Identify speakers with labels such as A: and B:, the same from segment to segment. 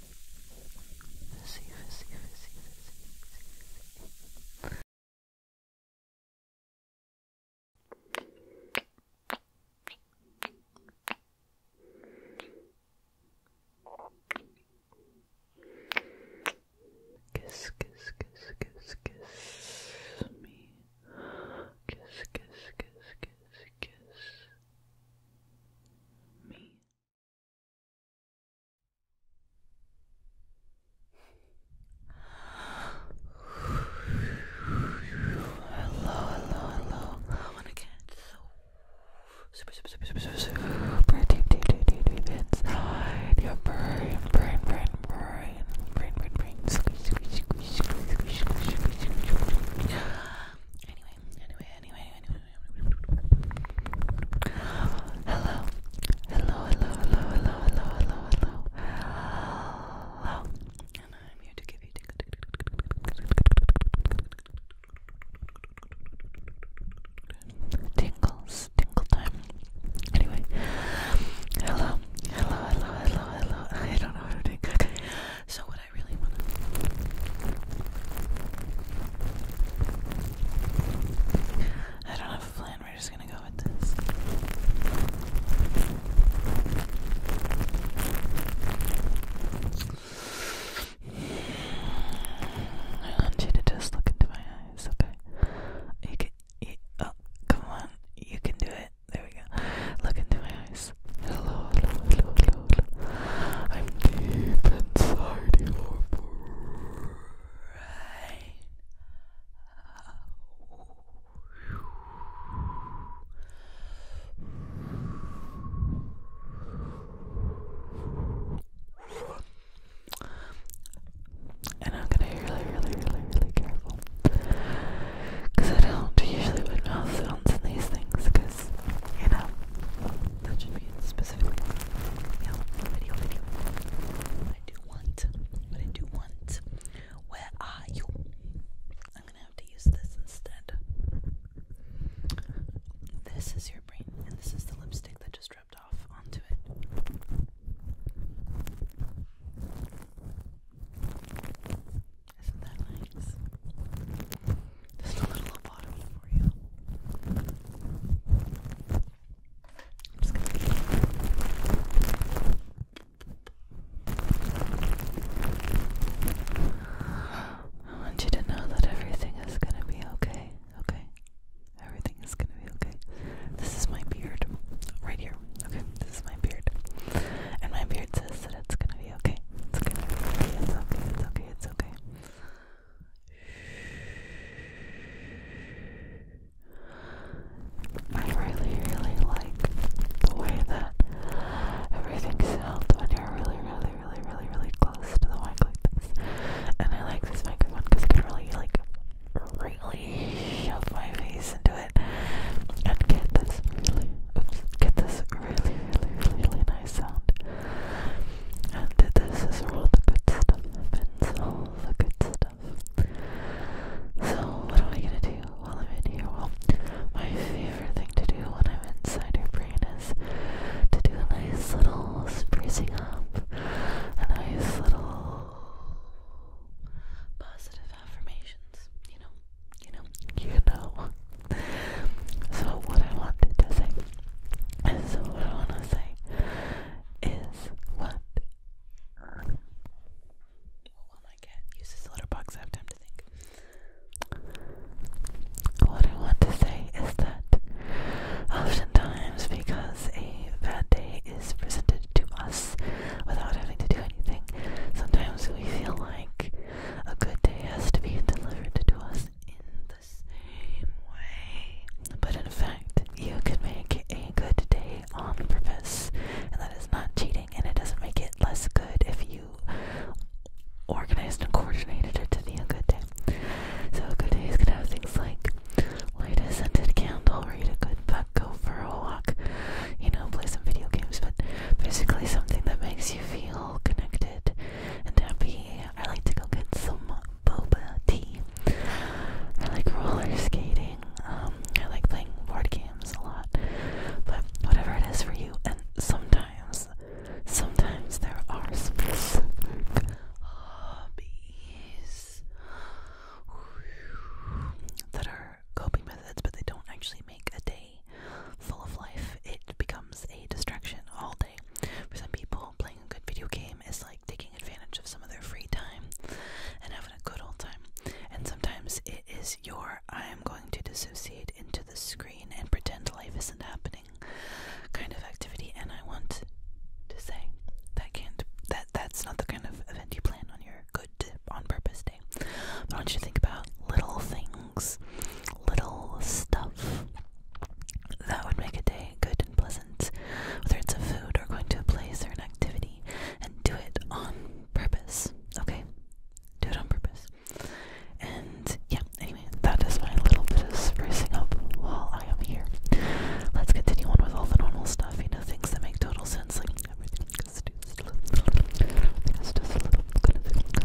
A: fizzy, fizzy, fizzy, fizzy, fizzy. Kiss, kiss, kiss, kiss, kiss me. Kiss, kiss, kiss, kiss, kiss me. Hello, hello, hello. I want to get so super, super, super, super, super, super deep, deep, deep, deep, deep inside your brain, brain, brain, brain, brain, brain, brain. Squeeze, squeeze, squeeze, squeeze, squeeze, squeeze, squeeze, squeeze. Anyway, anyway, anyway, anyway, Hello. Hello, hello, hello, hello, hello, hello, hello. And I'm here to give you tingles, tingle time. Anyway. Hello. Hello, hello, hello, hello. I don't know how to do. Okay. So I do. not have a plan, we're just gonna go with this. I want you to just look into my eyes, okay? You can, oh, come on, you can do it. There we go. Look into my eyes hello, hello, hello, hello, I'm deep inside your brain. And I'm gonna be really, really, really, really careful. I don't usually put mouth sounds in these things because, you know, that should be specifically yeah, video video. What I do want, what I do want. Where are you? I'm gonna have to use this instead. This is your brain, and this is the lipstick that just dripped off onto it. Isn't that nice? Just a little lobotomy for you. i just gonna I want you to know that everything is gonna be okay, okay? Everything is gonna be okay. This is my beard, right here. Okay, this is my beard, and my beard says that it's gonna be okay. It's gonna be okay. It's okay. It's okay it's okay. I really, really like the way that everything sounds when you're really, really, really, really, really close to the mic like this. And I like this microphone because I can really, like, really shove my face into it and get this really, get this really, really, really nice nice sound. And this is all the good stuff happens, all the good stuff. So, what am I gonna do while I'm in here? Well, my favorite thing to do when I'm inside your brain is to do a nice little sprucing up, a nice little positive affirmations, you know? you know, you know. So what I wanted to say is so what I wanna say is what well my cat uses the litter box, I have time to think. What I want to say is that oftentimes because a bad day is presented to us without having to do anything, sometimes we feel like a good day has to be delivered to us in the same way. But in fact, you can make a good day on purpose, and that is not cheating, and it doesn't make it less good if you organized and coordinated it to be a good day. So, a good day is going to have things like light a scented candle, read a good book, go for a walk, you know, play some video games, but basically something that makes you feel connected and happy. I like to go get some boba tea. I like roller skating. Um, I like playing board games a lot. But whatever it is for you, and sometimes, sometimes there are specific hobbies that are coping methods, but they don't actually make a day full of life, it becomes a distraction all day. For some people, playing a good video game is like taking advantage of some of their free time and having a good old time. And sometimes it is your I am going to dissociate into the screen and pretend life isn't happening kind of activity. And I want to say that can't that that's not the kind of event you plan on your good on purpose day. But I want you to think about little things little stuff that would make a day good and pleasant, whether it's a food or going to a place or an activity, and do it on purpose, okay? Do it on purpose. And yeah, anyway, that is my little bit of sprucing up while I am here. Let's continue on with all the normal stuff, you know, things that make total sense, like everything goes to sleep. Everything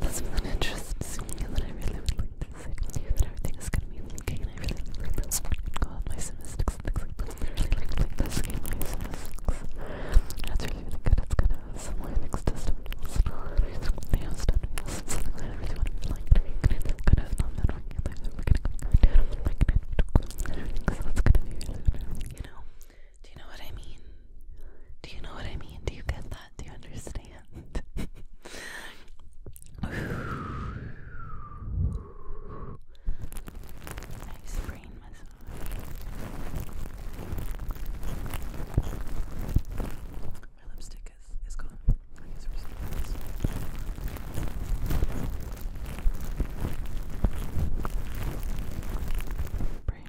A: That's an interesting that I really would like to say. That everything is gonna be okay, and I really oh like this one. Go out my simistics and things like that. I really like to like this game, my simistics. That's really, really good. It's gonna have some lyrics to stuff. They have stuff. It's something that I really want to be like. It's kind of not that we're gonna go down and like it. Because that's gonna be really, really, you know. Do you know what I mean? Do you know what I mean? Do you get that? that. Do you understand? nice brain massage. My lipstick is is gone. I guess we're seeing this.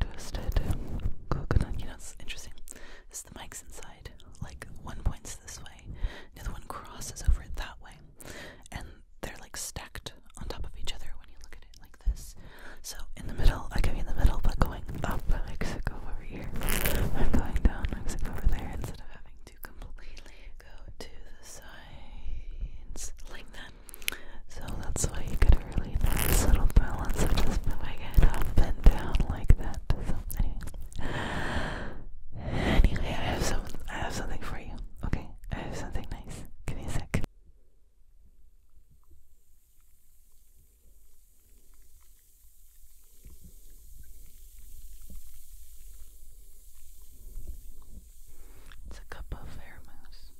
A: Twisted coconut. You know, it's interesting. Is the mic's inside? Like one points this way, the other one crosses over it that way, and they're like stacked on top of each other when you look at it like this. So in the middle, I could be in the middle, but going up Mexico over here, I'm going down Mexico over there instead of having to completely go to the sides like that. So that's why you get really nice little balance of just moving it up and down like that. So anyway, I have some, I have something for you. Okay, I have something nice. Give me a sec. It's a cup of air mouse.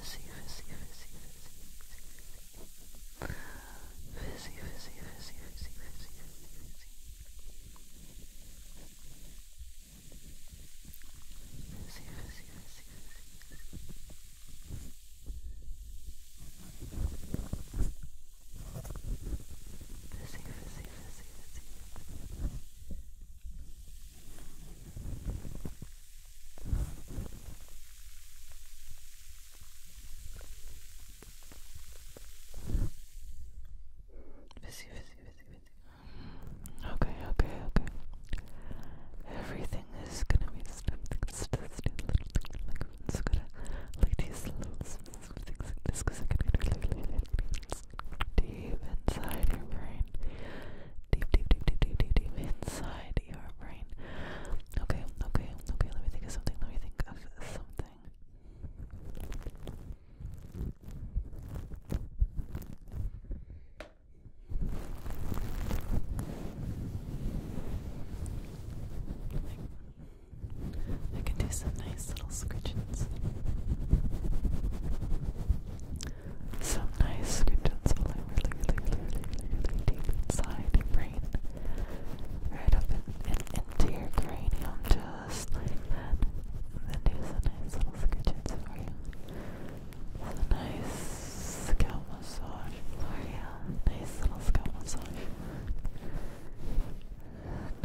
A: Fizzy, fizzy, fizzy, fizzy, fizzy fizzy, fizzy, fizzy, fizzy, fizzy, fizzy, fizzy. Fizzy, fizzy, fizzy, fizzy. Fizzy, fizzy, fizzy, fizzy. Fizzy, fizzy, fizzy, fizzy. Busy, busy, busy, busy. Okay, okay, okay. Everything is gonna be something just like it's gonna like these little things like this because it can get deep inside your brain. Deep, deep, deep, deep, deep, deep, deep inside your brain. Okay, okay, okay, let me think of something, let me think of something everything. I can do some nice little scritchings. Some nice scritchings, like really, really, really, really, really deep inside your brain right up in, into your cranium, just like that. And then do some nice little scratches for you. It's nice scalp massage for Nice little scalp massage. Nice.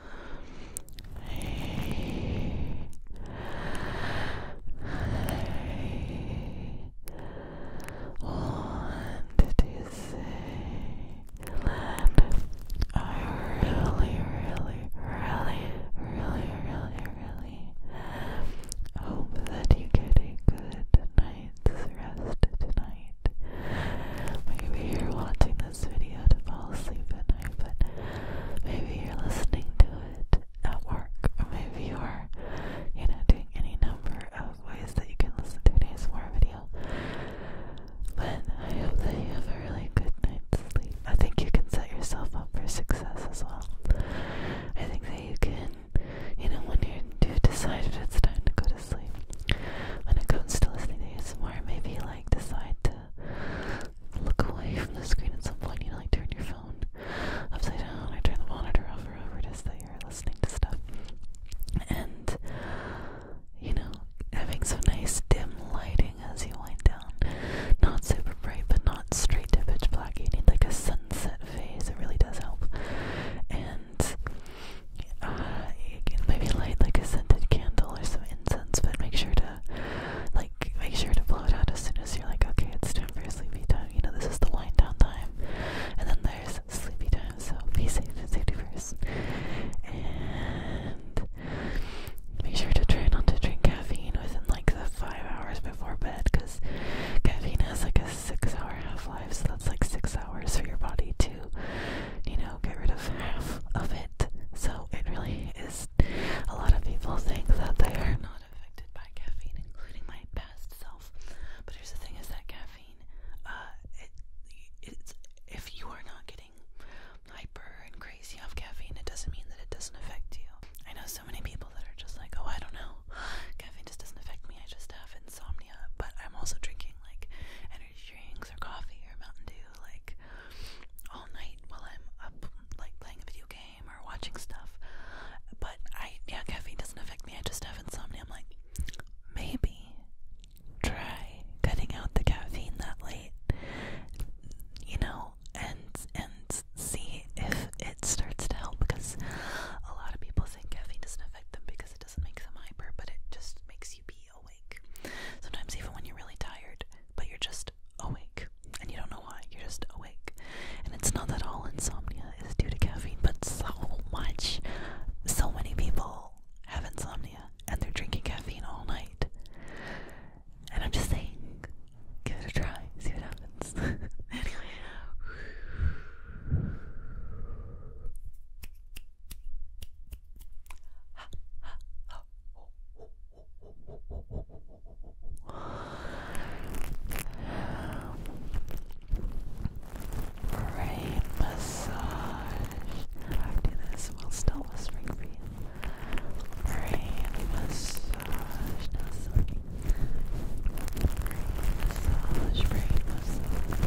A: wanted to say I really, really, really, really, really, really hope that you get a good night's rest tonight. Maybe you're watching this this video to fall asleep at night, but maybe you're listening to it at work, or maybe you're, you know, doing any number of ways that you can listen to today's more video. But I hope that you have a really good night's sleep. I think you can set yourself up for success as well. I think that you can, you know, when you do decide if it's time to go to sleep, when it comes to listening to ASMR, maybe like decide to look away from the screen at some point. You know, like turn your phone upside down or turn the monitor off or whatever it is you're listening to stuff. And, you know, having some nice dim lighting as you wind down. Not super bright, but not straight to pitch black. You need like a sunset phase. It really does help. And you uh, can maybe light like a scented candle or some incense, but make sure to like make sure to blow it out as soon as you're like, okay, it's time for sleepy time. You know, this is the wind down time. And then there's sleepy time, so be safe and safety first. And make sure to try not to drink caffeine within like the five hours before bed because caffeine has like a six hour half life, so that's like six hours for your body to, you know, get rid of half of it. So it really is a lot of people think that they are not affected by caffeine, including my past self. But here's the thing: is that caffeine, uh, it's if you are not getting hyper and crazy off caffeine, it doesn't mean that it doesn't affect you. I know so many people that are just like, oh, I don't know, caffeine just doesn't affect me. I just have insomnia, but I'm also drinking like energy drinks or coffee or Mountain Dew like all night while I'm up like playing a video game or watching stuff. But I yeah, caffeine doesn't affect me. I just have insomnia. I'm like maybe try cutting out the caffeine that late. You know, and and see if it starts to help because a lot of people think caffeine doesn't affect them because it doesn't make them hyper, but it just makes you be awake. Sometimes even when you're really tired, but you're just awake. And you don't know why, you're just awake. And it's not that all insomnia is due to caffeine, but so much, so many people have insomnia and they're drinking caffeine all night. And I'm just saying, give it a try, see what happens. anyway. Brain massage. After this, we'll still whispering for you. Brain massage. No smoking. Brain massage. Brain massage.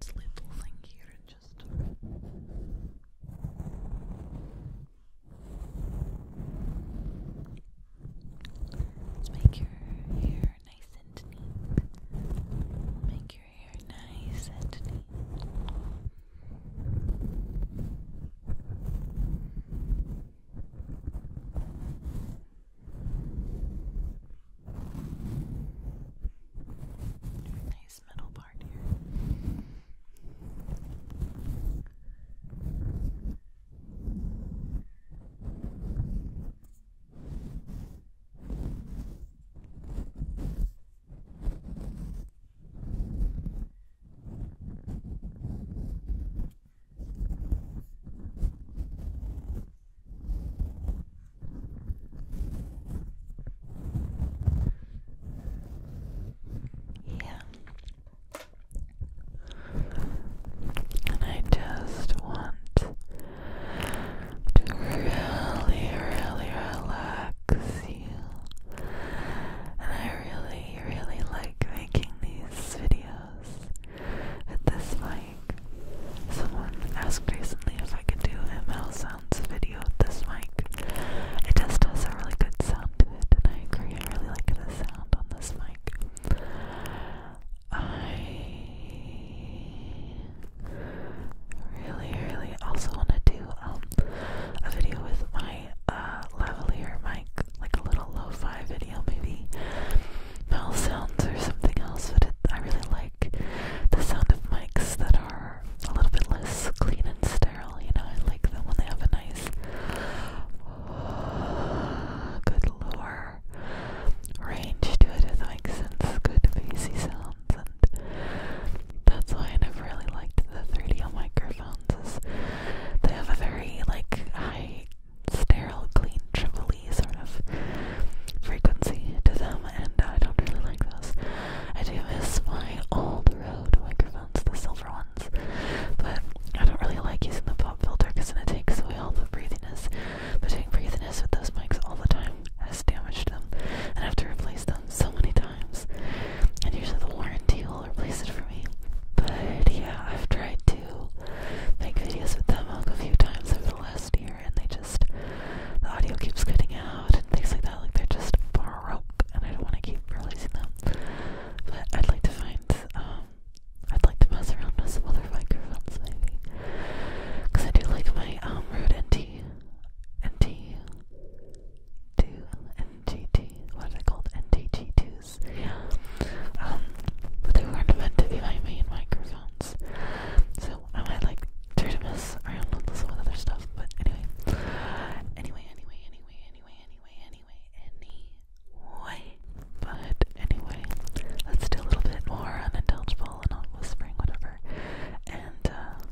A: this little thing here just make your hair nice and neat. Make your hair nice and neat. Nice middle part here. Good. Yeah. And I just want to really, really relax and I really, really like making these videos with this mic. Someone asked recently if I could do ML Sounds video with this mic. It just has a really good sound to it, and I agree, I really like the sound on this mic. I really, really also want to do um, a video with my uh, lavalier mic, like a little lo-fi video, maybe mouth sounds or something else. But I really like the sound of mics that are a little bit less clean and sterile. You know, I like them when they have a nice, good lower range to it. If that makes sense, good bassy sounds and that's why I never really liked the 3 d microphones is they have a very like high sterile clean triple sort of frequency to them and I don't really like those. I do miss my old Rode microphones, the silver ones. But I don't really like using the pop filter because it takes away all the breathiness. But doing breathiness with those mics all the time has damaged them and I have to replace them so many times. And usually the warranty will replace it for me. But yeah, I've tried to make videos with them a few times over the last year, and they just the audio keeps cutting out and things like that. Like they're just broke, and I don't want to keep releasing them. But I'd like to find um, I'd like to mess around with some other microphones maybe, because I do like my um Rode NT NT two NGT, what are they called? NTG2s. Um, but they weren't meant to be my main microphones. So I might like try to mess around with some other stuff, but anyway. Anyway, anyway, anyway, anyway, anyway, anyway, anyway. But anyway, let's do a little bit more unintelligible and not whispering, whatever. And uh,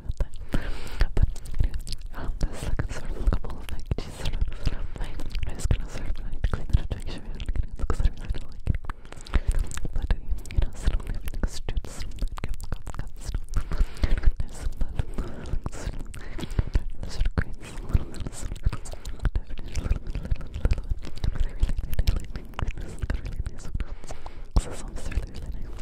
A: talked But anyways, um, this like a sort of like a bowl of like cheese sort of, sort of like, I'm just gonna sort of like clean it up to make sure I don't get it because I really don't like it. But you know, sort of everything's stewed, sort of like cups, cups, There's some little, like, sort of, sort of creates a little bit of some, definitely a little bit, little, little, little bit. But I really, really like this, like a really nice one. So this one's really, really nice.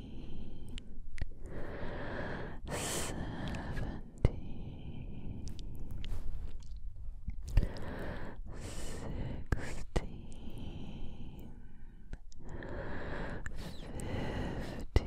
A: seventeen, sixteen, fifteen, fourteen. Thirteen,